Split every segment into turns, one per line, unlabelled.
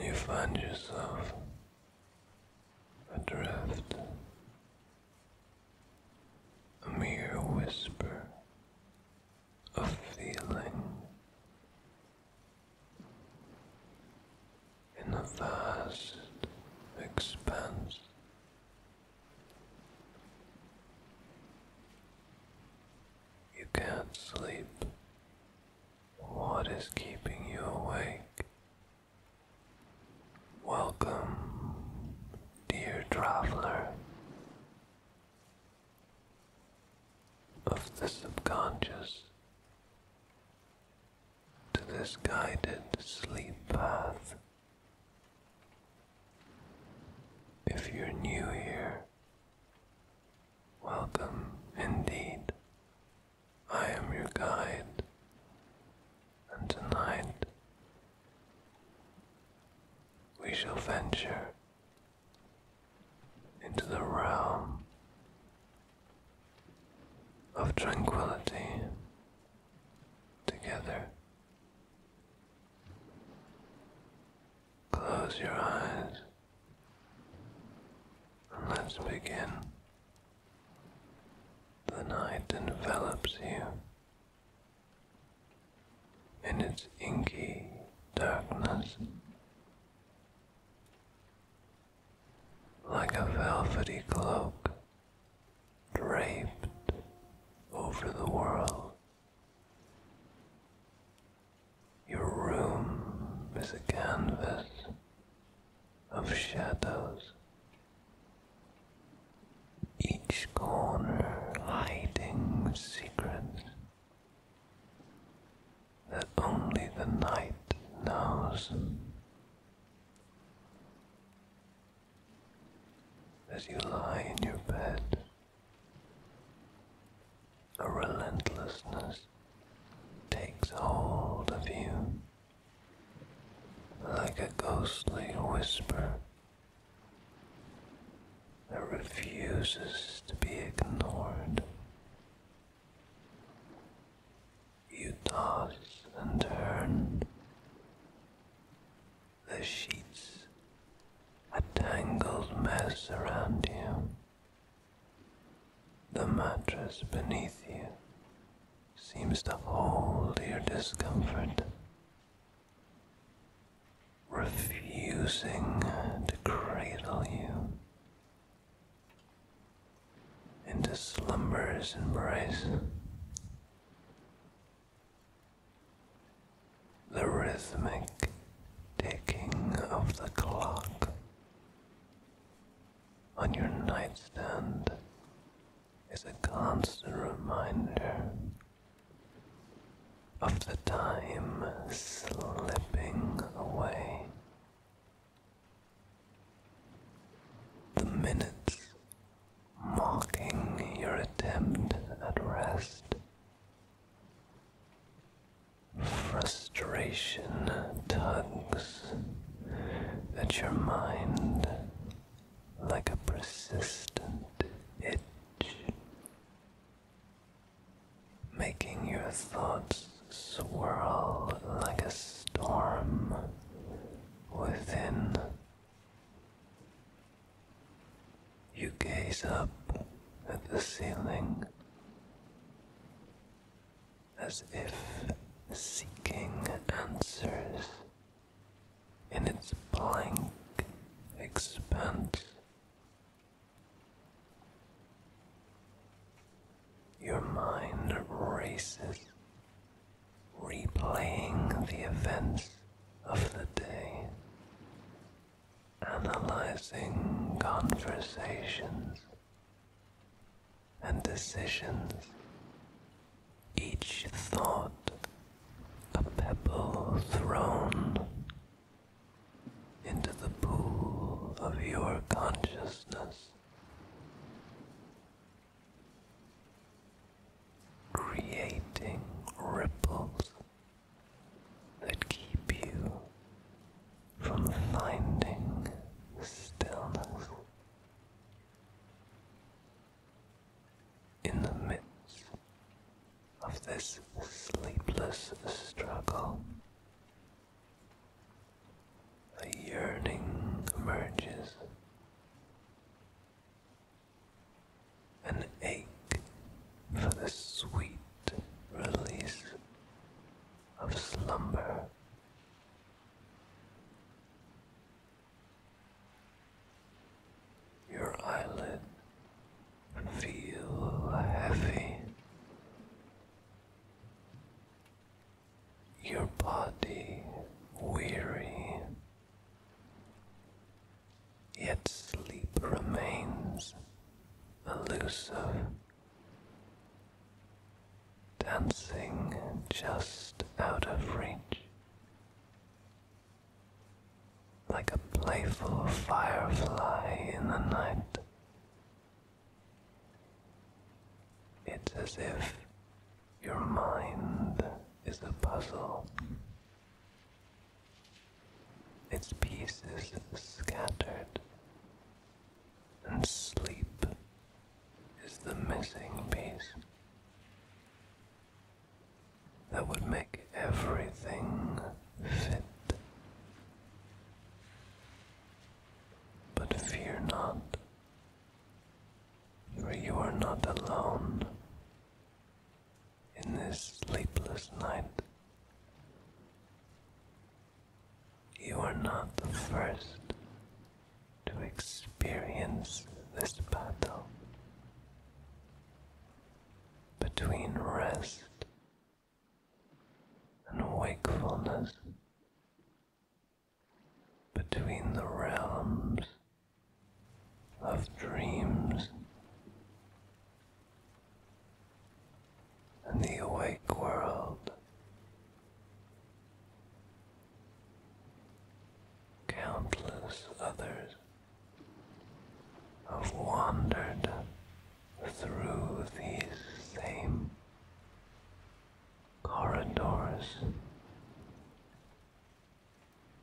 you find yourself adrift, a mere whisper of feeling in a vast expanse. You can't sleep. What is keeping you awake? Welcome, dear traveler of the subconscious, to this guided sleep path. If you're new here, Welcome indeed. I am your guide, and tonight we shall venture into the realm of tranquility together. Close your eyes. Let's begin. The night envelops you in its inky darkness. Like a velvety cloak draped over the world, your room is a canvas of shadows, each corner hiding secrets that only the night knows. As you lie in your bed, a relentlessness takes hold of you like a ghostly whisper that refuses to be ignored. You toss and turn. The sheets, a tangled mess around you. The mattress beneath you seems to hold your discomfort, refusing to cradle you into slumber's embrace. The rhythmic ticking of the clock on your nightstand is a constant reminder of the time slipping away. The minutes mocking your attempt at rest frustration tugs at your mind like a persistent itch, making your thoughts swirl like a storm within. You gaze up at the ceiling as if seeking answers in its blank expanse. Your mind races, replaying the events of the day, analyzing conversations and decisions. Each thought a pebble thrown into the pool of your consciousness. Creating ripples that keep you from finding stillness in the midst of this sleepless struggle. A yearning emerges, an ache for the sweet release of slumber. Your eyelid feel heavy. Your body weary, yet sleep remains elusive dancing just out of reach, like a playful firefly in the night. It's as if your mind is a puzzle. Its pieces scattered and sleep is the missing piece that would make everything fit. But fear not, for you are not alone in this sleepless night. You are not the first to experience this battle between rest and wakefulness, between the realms of dreams in the awake world. Countless others have wandered through these same corridors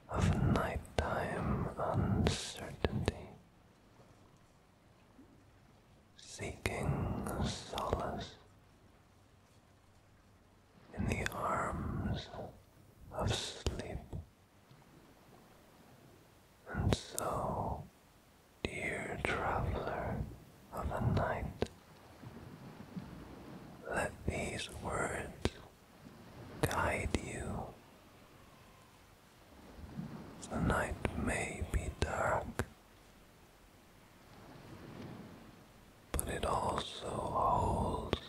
of nighttime uncertainty seeking solace in the arms of sleep. And so, dear traveler of the night, let these words guide you the night may be dark, but it also holds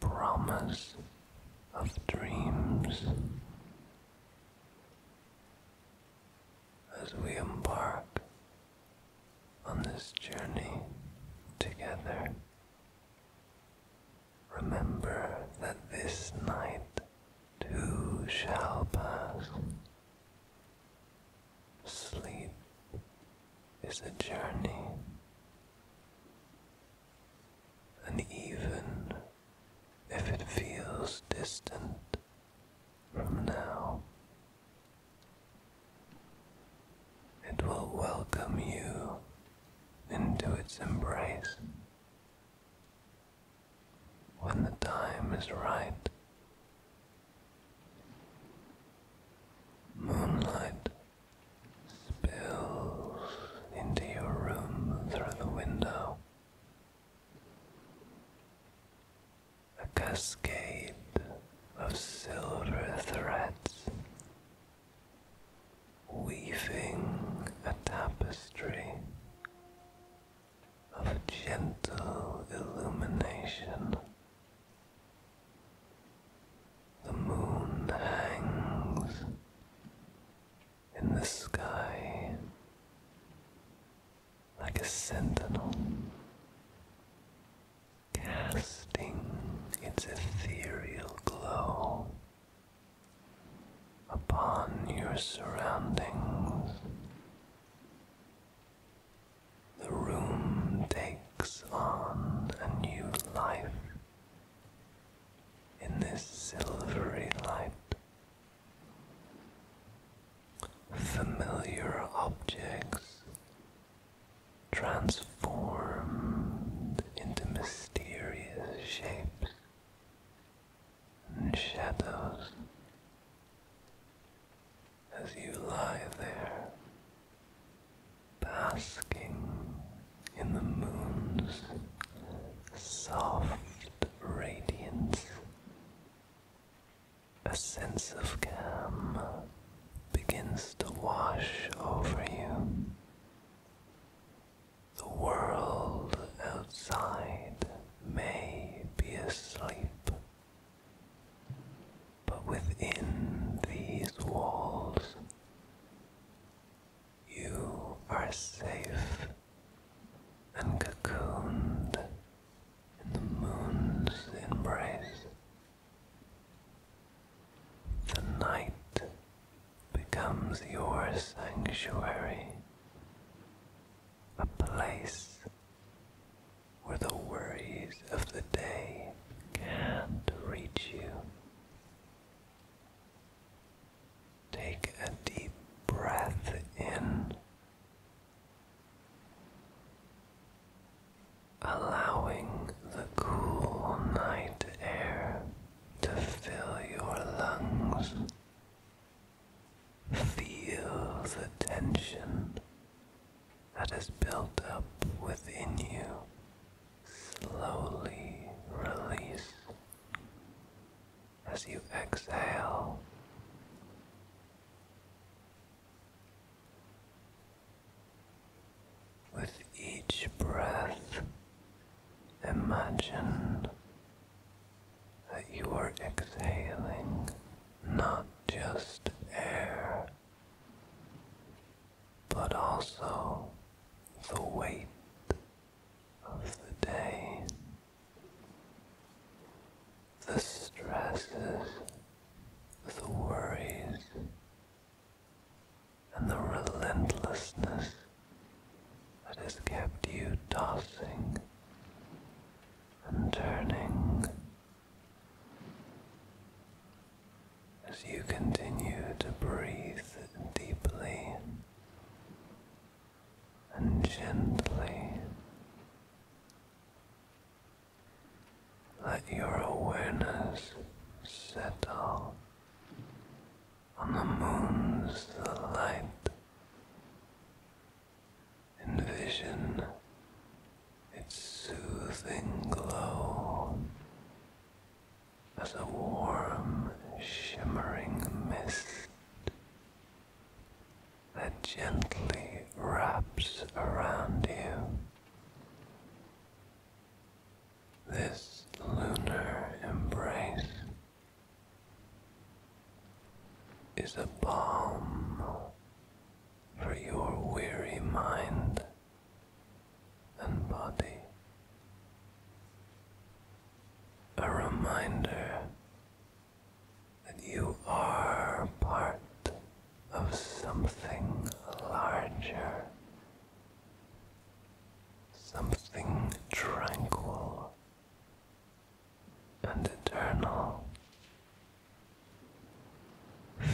promise of dreams. As we embark on this journey together, remember that this night too shall pass. Sleep is a journey, and even if it feels distant from now, it will welcome you into its embrace when the time is right. Moonlight spills into your room through the window. A cascade of silver threads weaving a tapestry of gentle illumination. The moon hangs in the sky like a sentinel, casting its ethereal glow upon your surroundings. The room takes on a new life in this silvery light. Familiar objects transform into mysterious shapes and shadows as you lie there, basking in the moon's soft radiance. A sense of calm begins to wash over you. The world outside may be asleep, but within these walls you are safe and cocooned in the moon's embrace. The night becomes your sanctuary, a place where the worries of the day can't reach you. Take a deep breath in, allowing the cool night air to fill your lungs Feel the tension that is built up within you slowly release as you exhale. With each breath, Imagine that you are exhaling not just air, but also the weight of the day, the stresses, the worries, and the relentlessness that has kept you tossing and turning as you continue to breathe deeply and gently. Let your awareness settle on the moon's light. Envision its soothing glow as a warm, shimmering mist that gently wraps around you. This lunar embrace is a balm for your weary mind and body, a reminder that you are part of something larger, something tranquil and eternal.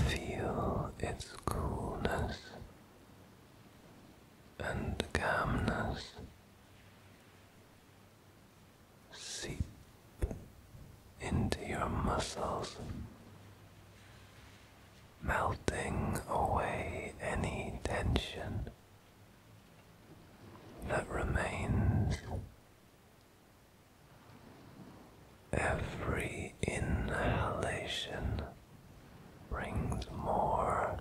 Feel its coolness and calmness seep into your muscles, melting away any tension that remains. Every inhalation brings more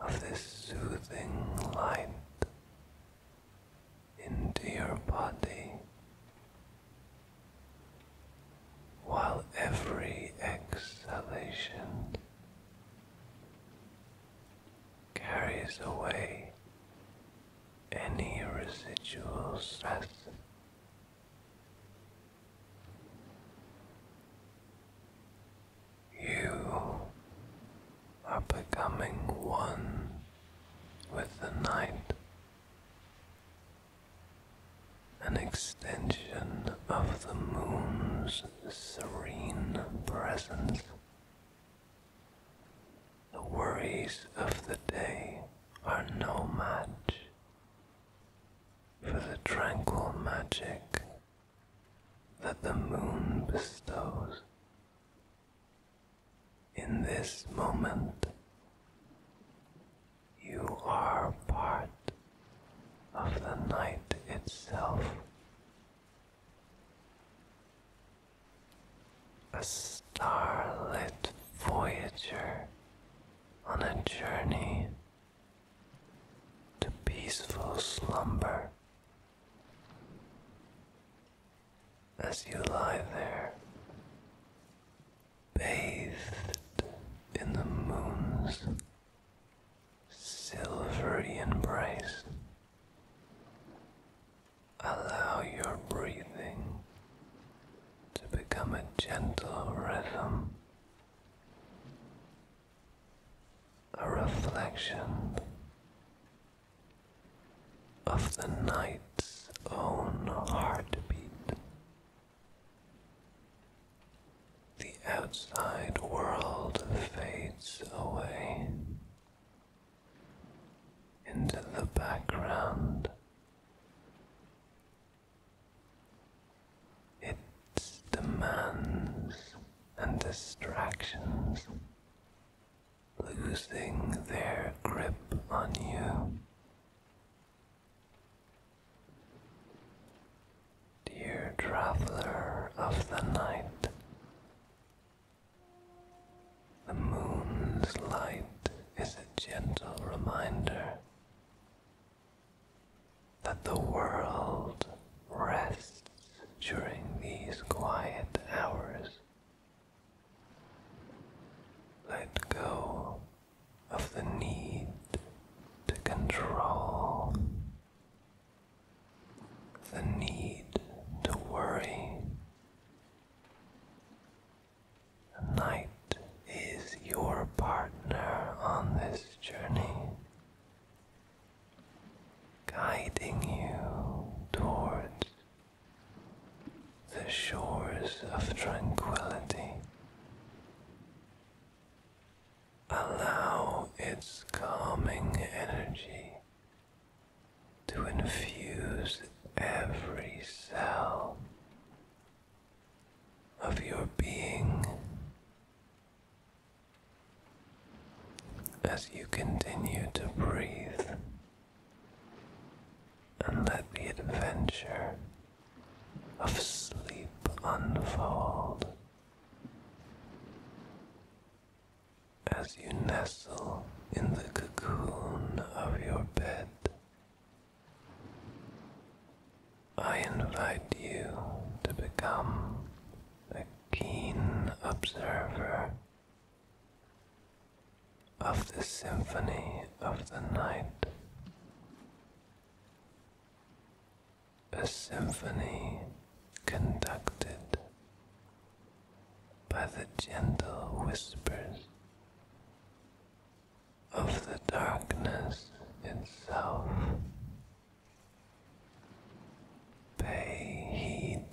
of this soothing light into your body, while every exhalation carries away any residual stress. You are becoming one with the night, an extension of the moon's the serene presence. The worries of the day are no match for the tranquil magic that the moon bestows. In this moment, you are part of the night itself. A starlit voyager on a journey to peaceful slumber. As you lie there, bathed in the moon's silvery embrace. Allow your breathing to become a gentle rhythm, a reflection of the night's own heartbeat. The outside world fades away. Into the background, its demands and distractions losing their grip on you. Dear traveler of the night, the moon's light is a gentle reminder that the world rests during these quiet hours. Let go of the need to control the need to worry. Night is your partner on this journey, guiding you towards the shores of tranquility. Allow its calming energy to infuse every cell of your being. As you continue to breathe and let the adventure of sleep unfold. As you nestle in the cocoon of your bed, I invite you to become a keen observer of the symphony of the night a symphony conducted by the gentle whispers of the darkness itself. Pay heed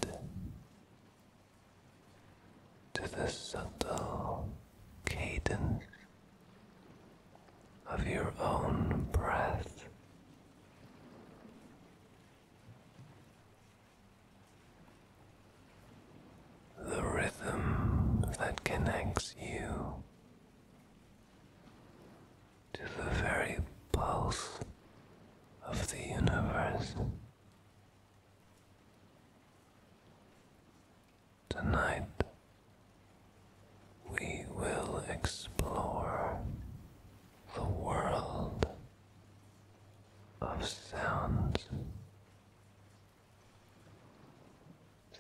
to the subtle cadence of your own breath. The rhythm that connects you to the very pulse of the universe. Tonight, we will explore the world of sounds.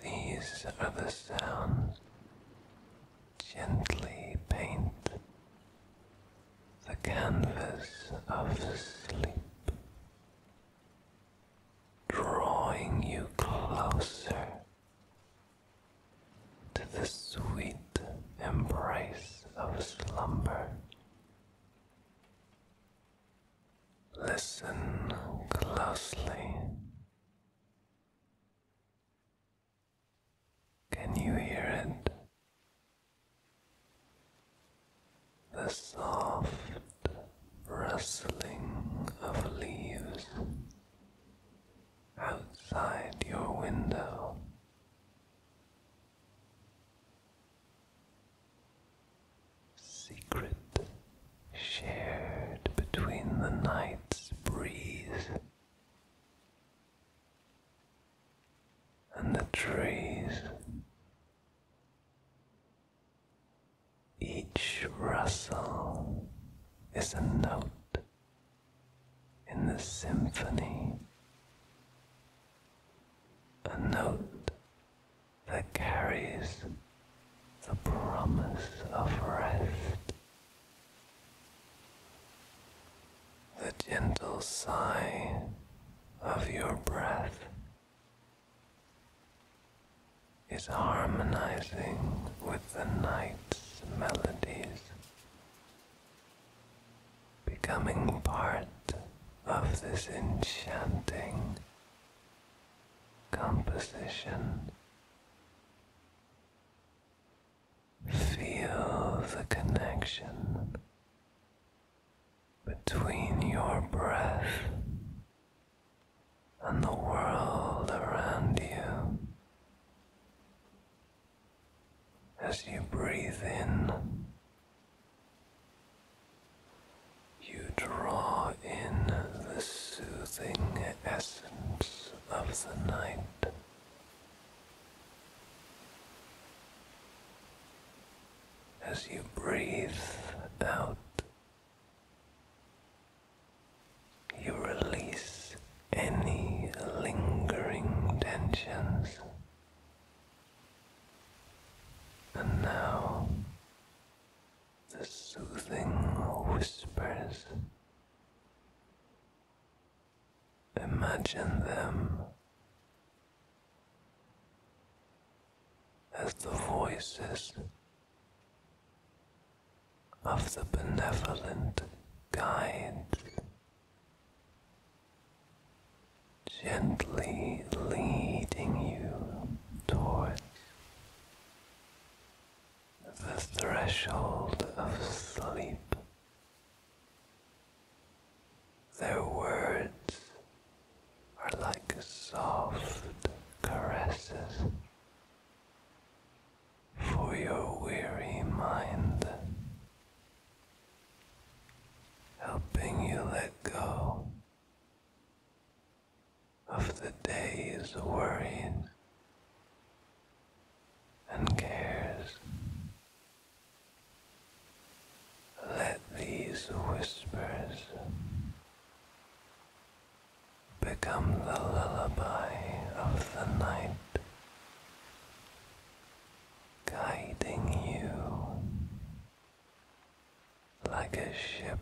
These are the sounds gently paint the canvas of sleep, drawing you closer to the sweet embrace of slumber. Listen closely. Can you hear it? The soft rustling of leaves, outside your window. Secret shared between the night's breeze and the trees. Each rustle is a note in the symphony, a note that carries the promise of rest. The gentle sigh of your breath is harmonizing with the night's melodies, becoming part of this enchanting composition. Feel the connection between your breath and the world around you. As you breathe in, you draw in the soothing essence of the night. As you breathe out you release any lingering tensions. And now the soothing whispers. Imagine them as the voices of the benevolent guides gently leading you toward the threshold of sleep. Their words are like soft caresses for your weary mind, helping you let go of the day's worries and cares. Let these whispers become the lullaby of the night, guiding you like a ship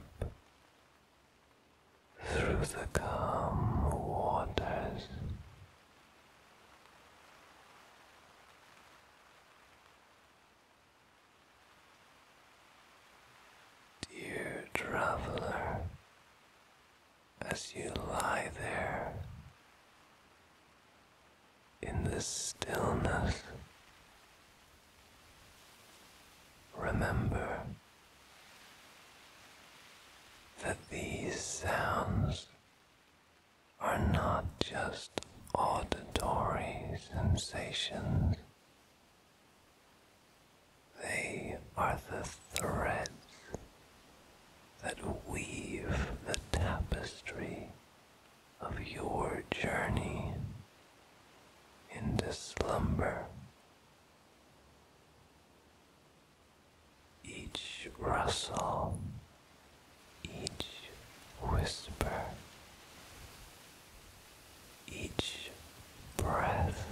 through the calm waters. Dear traveler, as you lie there in the stillness. Remember that these sounds are not just auditory sensations, they are the threads that weave the tapestry of your journey in this slumber. Each rustle, each whisper, each breath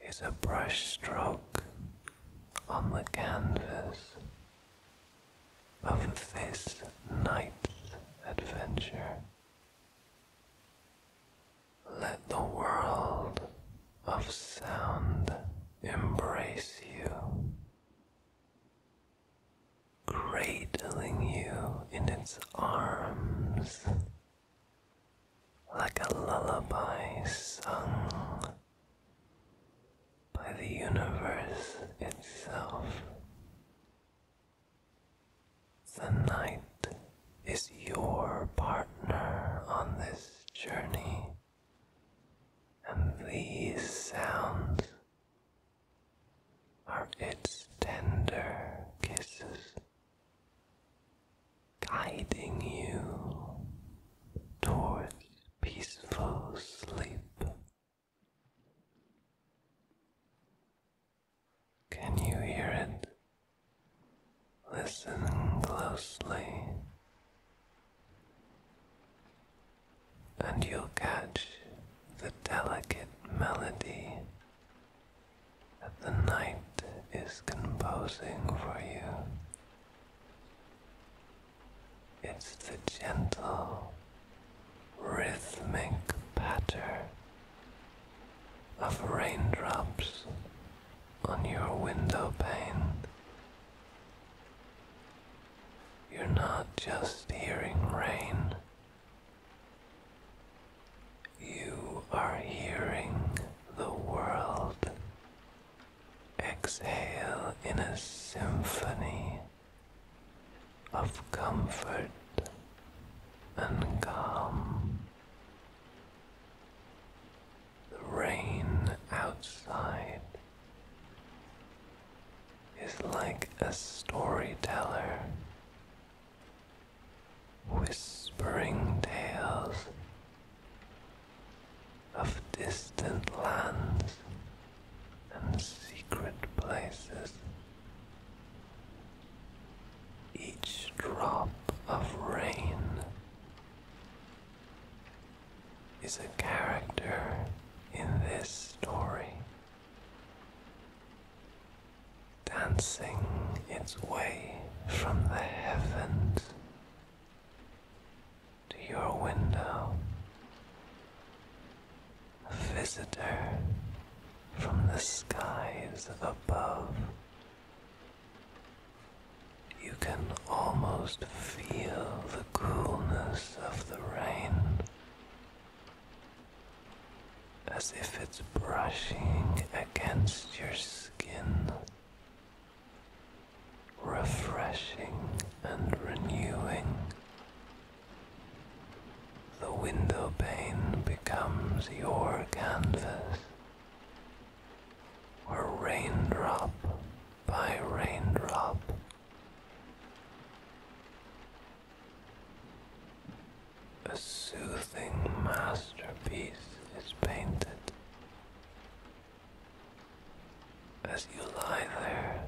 is a brushstroke on the canvas of this night's adventure. Let the world of sound embrace you, cradling you in its arms like a lullaby sung by the universe itself. The night is your partner on this journey, and these sounds are its tender kisses guiding you towards peaceful sleep. Can you hear it? Listen closely, and you'll catch the delicate melody that the night is composing for you. It's the gentle, rhythmic patter of raindrops on your window pane. You're not just hearing rain, you are hearing the world exhale in a symphony of comfort and calm. The rain outside is like a storyteller whispering tales of distant lands and secret places. Each drop of rain is a character in this story dancing its way from the heavens to your window. A visitor from the skies above. You can almost feel the coolness of the rain as if it's brushing against your skin, refreshing and renewing. The window pane becomes your canvas, where raindrop by raindrop a soothing masterpiece is painted. As you lie there,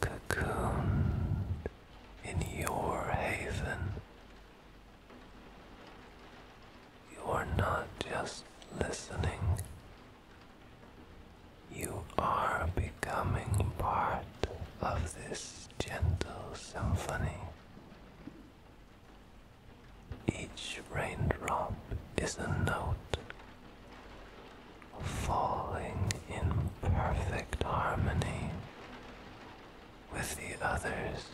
cocooned in your haven, you are not just listening, you are becoming part of this gentle symphony. Each raindrop is a note falling in perfect harmony with the others.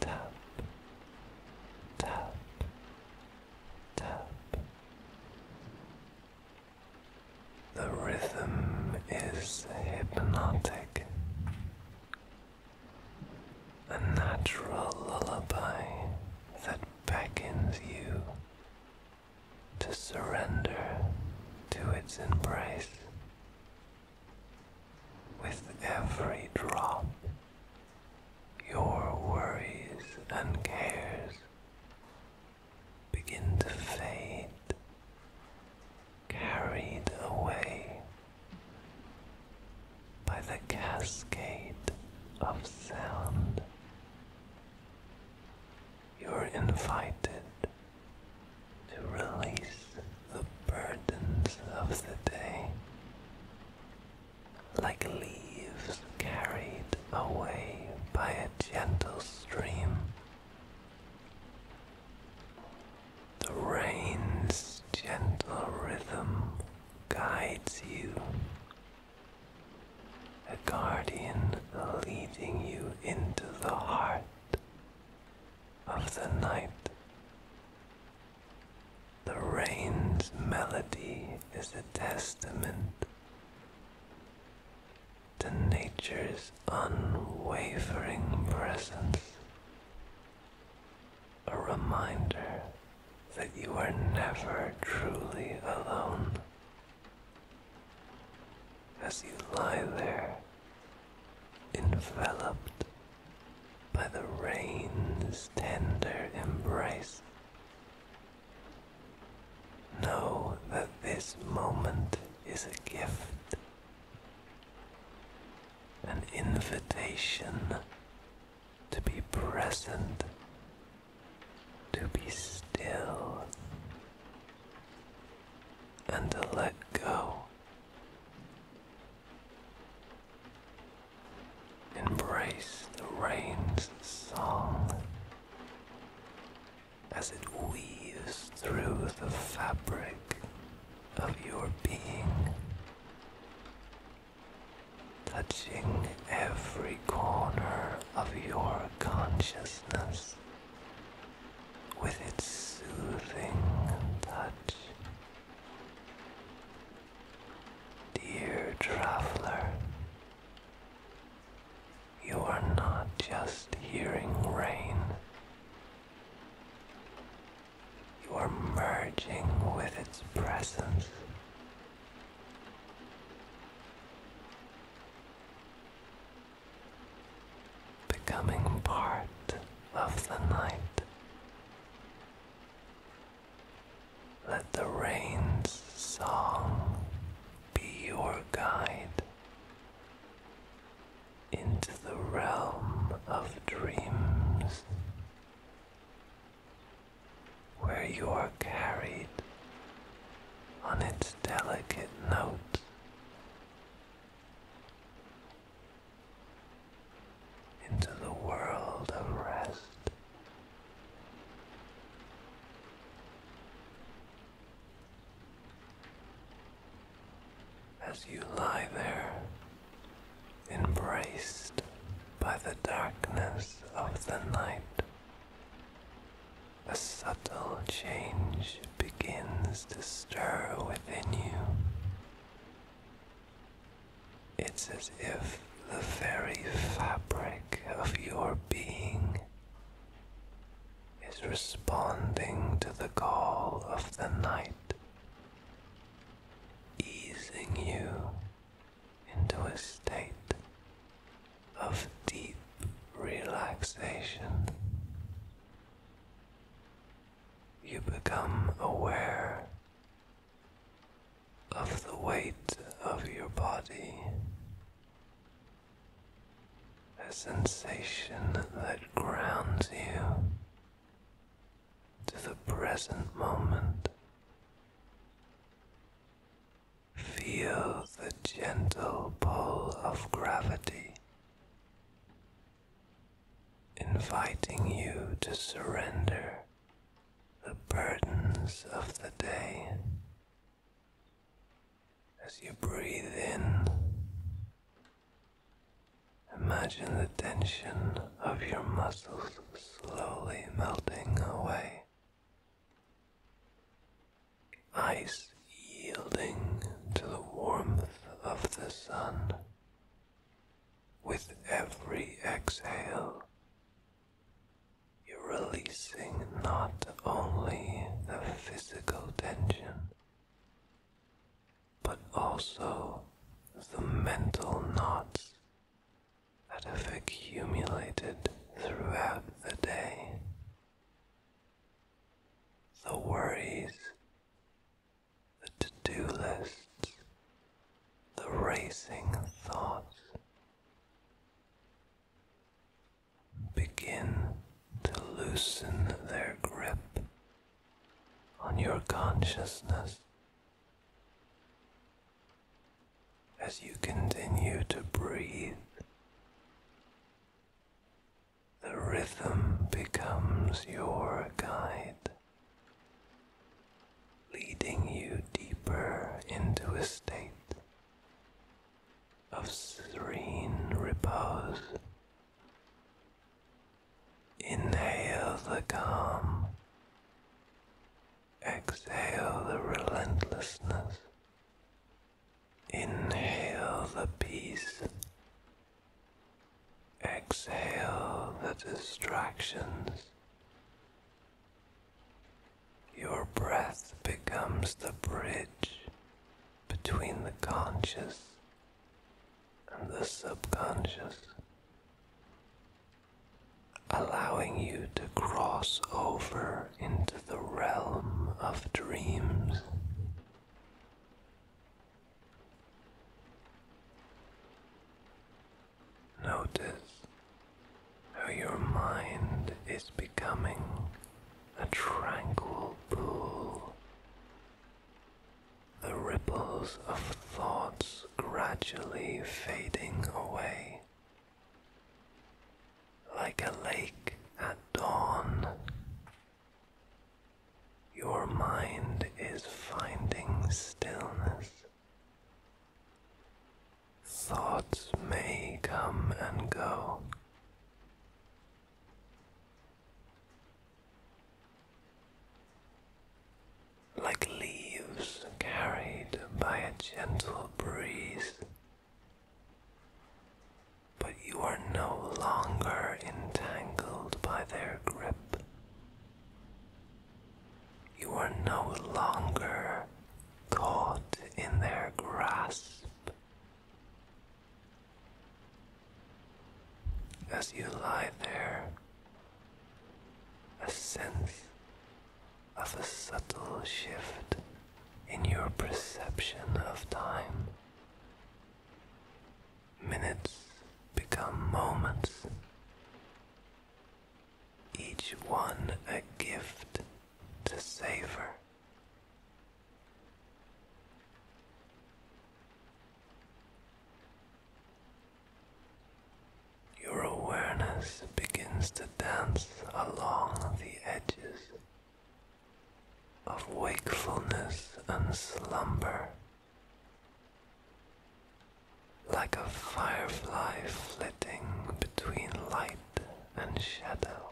Tap, tap, tap. The rhythm is hypnotic, a natural lullaby that beckons you to surrender to its embrace. With every drop, your worries and cares begin to fade, carried away by the cascade of sound. You're invited to release the burdens of the day, like leaves carried away by a gentle stream. The rain's gentle rhythm guides you, a guardian leading you into the heart of the night. The rain's melody is a testament to nature's unwavering presence. A reminder that you are never truly alone. As you lie there, enveloped by the rain's tender embrace, Know that this moment is a gift, an invitation to be present, to be still, and to let go. Embrace the rain's song as it weaves through the fabric of your being, touching every corner of your consciousness with its soothing touch. Dear traveler, you are not just hearing rain, you are merging with its presence. Becoming part of the night. Let the rain's song be your guide into the realm of dreams, where you are carried on its delicate notes. Into the world of rest. As you lie there, embraced by the darkness of the night, a subtle change begins to stir within you. It's as if the very fabric of your being is responding to the call of the night, easing you into a state of deep relaxation. You become aware of the weight of your body a sensation that grounds you to the present moment. Feel the gentle pull of gravity, inviting you to surrender the burdens of the day as you breathe in, imagine the tension of your muscles slowly melting away, ice yielding to the warmth of the sun. With every exhale, you're releasing not only the physical tension, but also the mental knots that have accumulated throughout the day. The worries, the to do lists, the racing thoughts begin to loosen their grip on your consciousness. As you continue to breathe, the rhythm becomes your guide, leading you deeper into a state of serene repose. Inhale the calm, exhale the relentlessness, inhale the peace, exhale the distractions. Your breath becomes the bridge between the conscious and the subconscious, allowing you to cross over into the realm of dreams. Notice how your mind is becoming a tranquil pool. The ripples of thoughts gradually fading away. Like a lake at dawn, your mind is finding stillness. Thoughts may come and go. Like leaves carried by a gentle breeze. But you are no longer entangled by their grip. You are no longer caught in their grasp. As you lie there, a sense of a subtle shift in your perception of time. Minutes become moments each one a gift to savor. Your awareness begins to dance along the edges of wakefulness and slumber, like a firefly flitting between light and shadow.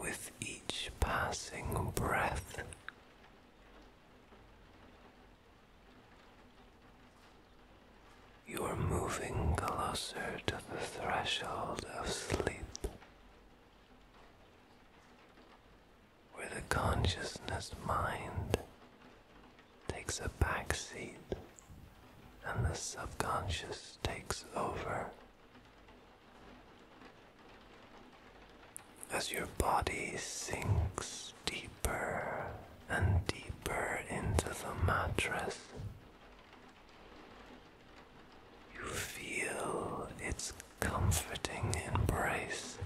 With each passing breath, you are moving closer to the threshold of sleep, where the consciousness mind takes a back seat and the subconscious takes over. As your body sinks deeper and deeper into the mattress, you feel its comforting embrace.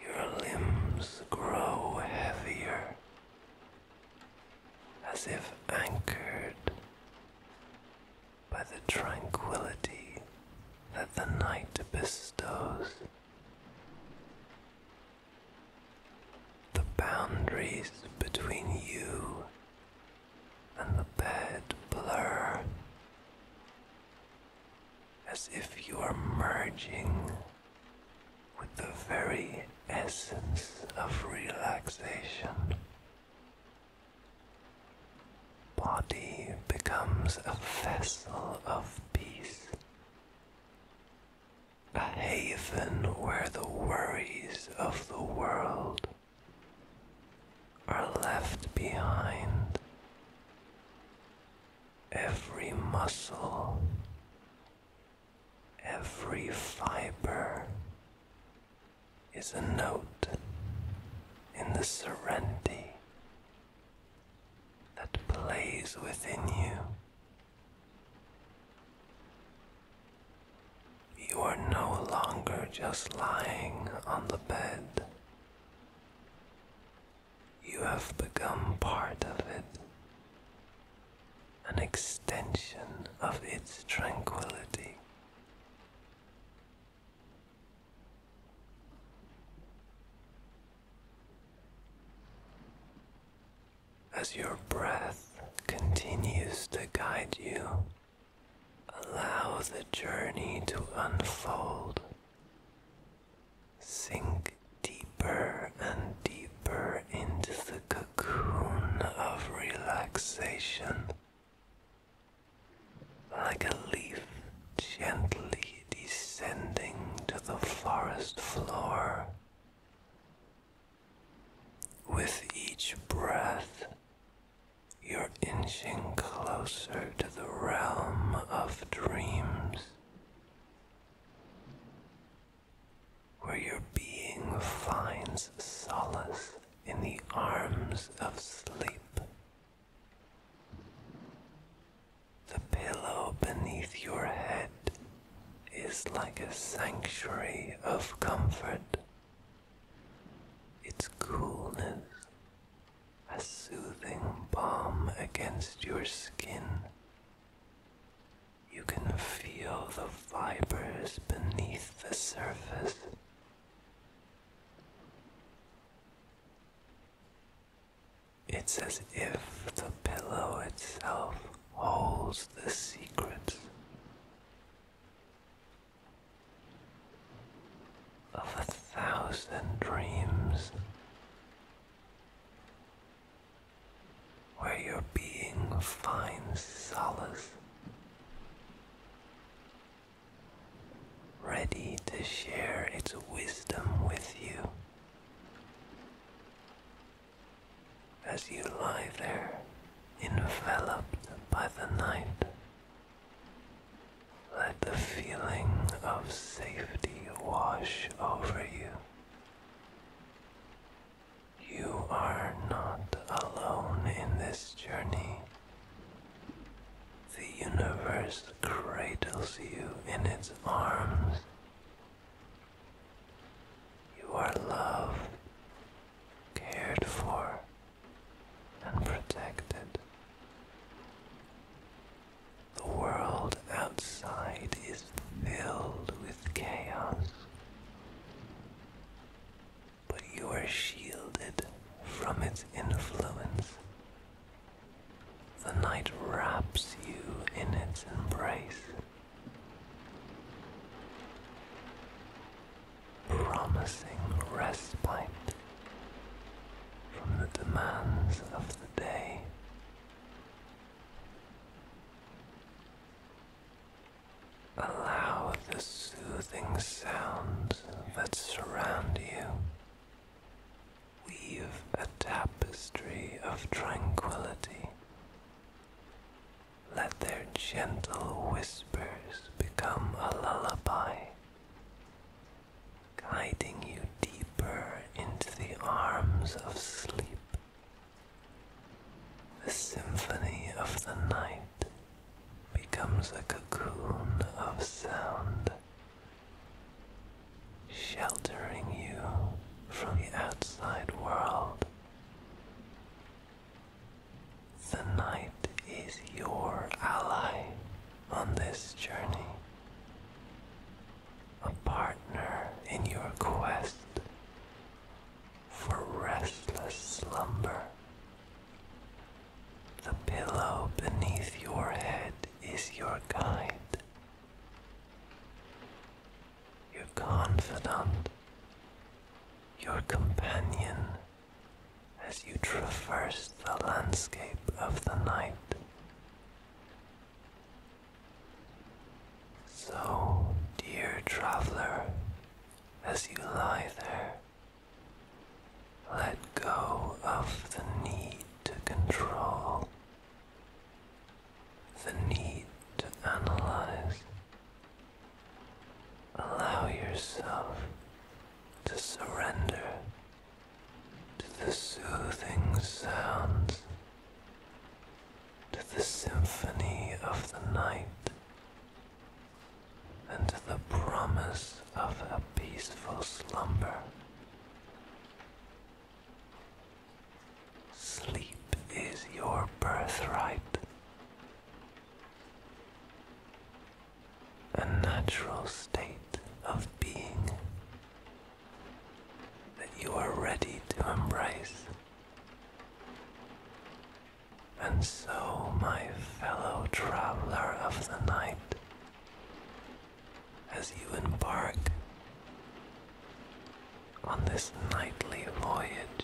Your limbs grow heavier, as if anchored by the tranquility that the night bestows. The boundaries between you and the bed blur, as if you are merging with the very essence of relaxation. Body becomes a vessel of peace, a haven where the worries of the world are left behind every muscle, every fiber is a note in the serenity that plays within you. You are no longer just lying on the bed. You have become part of it, an extension of its tranquility. As your breath continues to guide you, allow the journey to unfold Sink deeper and deeper into the cocoon of relaxation. Like a leaf gently descending to the forest floor. With each breath, your inching closer to the realm of dreams, where your being finds solace in the arms of sleep. The pillow beneath your head is like a sanctuary of comfort. Its coolness a soothing balm against your skin. You can feel the fibers beneath the surface. It's as if the pillow itself holds the secrets of a thousand dreams where your being finds solace, ready to share its wisdom with you as you lie there enveloped by the night. Let the feeling of safety wash over you. You are not alone in this journey. The universe cradles you in its arms. You are loved, cared for, and protected. The world outside is filled with chaos. But you are shielded from its influence. The night wraps you in its embrace. Promising respite from the demands of the day. Allow the soothing sounds that surround you. Weave a tapestry of tranquility. Let their gentle whispers become a lullaby guiding you deeper into the arms of sleep. The symphony of the night becomes a cocoon of sound, sheltering you from the outside world. The night is your ally on this journey, a partner in your quest for restless slumber. The pillow beneath your head is your guide, your confidant, your companion as you traverse the landscape of the night. So, dear traveler, as you lie there, let go of the need to control, the need to analyze. Allow yourself to surrender to the soothing sounds, to the symphony of the night, and the promise of a peaceful slumber. Sleep is your birthright a natural state of being that you are ready to embrace. And so, my fellow traveler of the night, as you embark on this nightly voyage,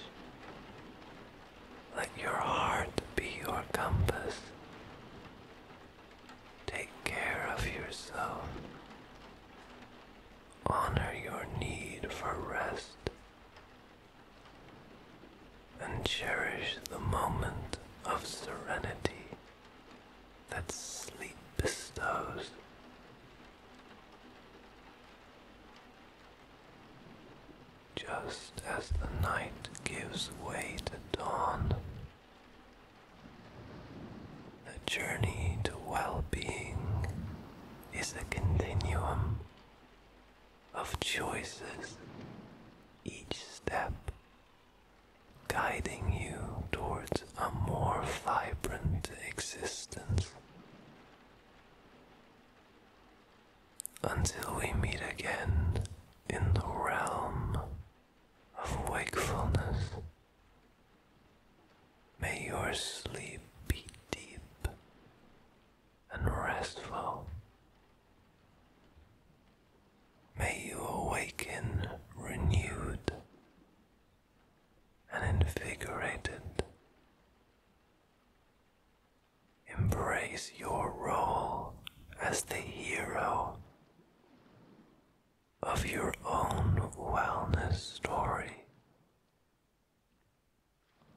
let your heart be your compass Take care of yourself. Honor your need for rest. And cherish the moment of serenity that sleep bestows. Just as the night gives way to dawn, the journey to well being is a continuum of choices, each step guiding you towards a more vibrant existence. Until we meet again in the realm of wakefulness. May your sleep be deep and restful. May you awaken renewed and invigorated. Embrace your role as the hero of your own wellness story.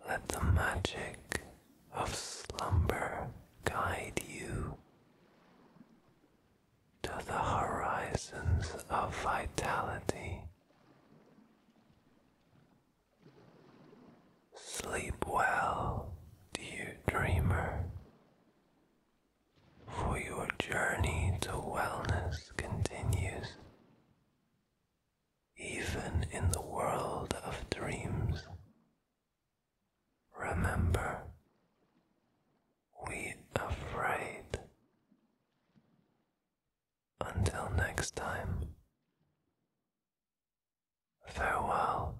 Let the magic of slumber guide you to the horizons of vitality. Sleep well, dear dreamer, for your journey to wellness continues, even in the world of dreams. Remember, we afraid. Until next time, farewell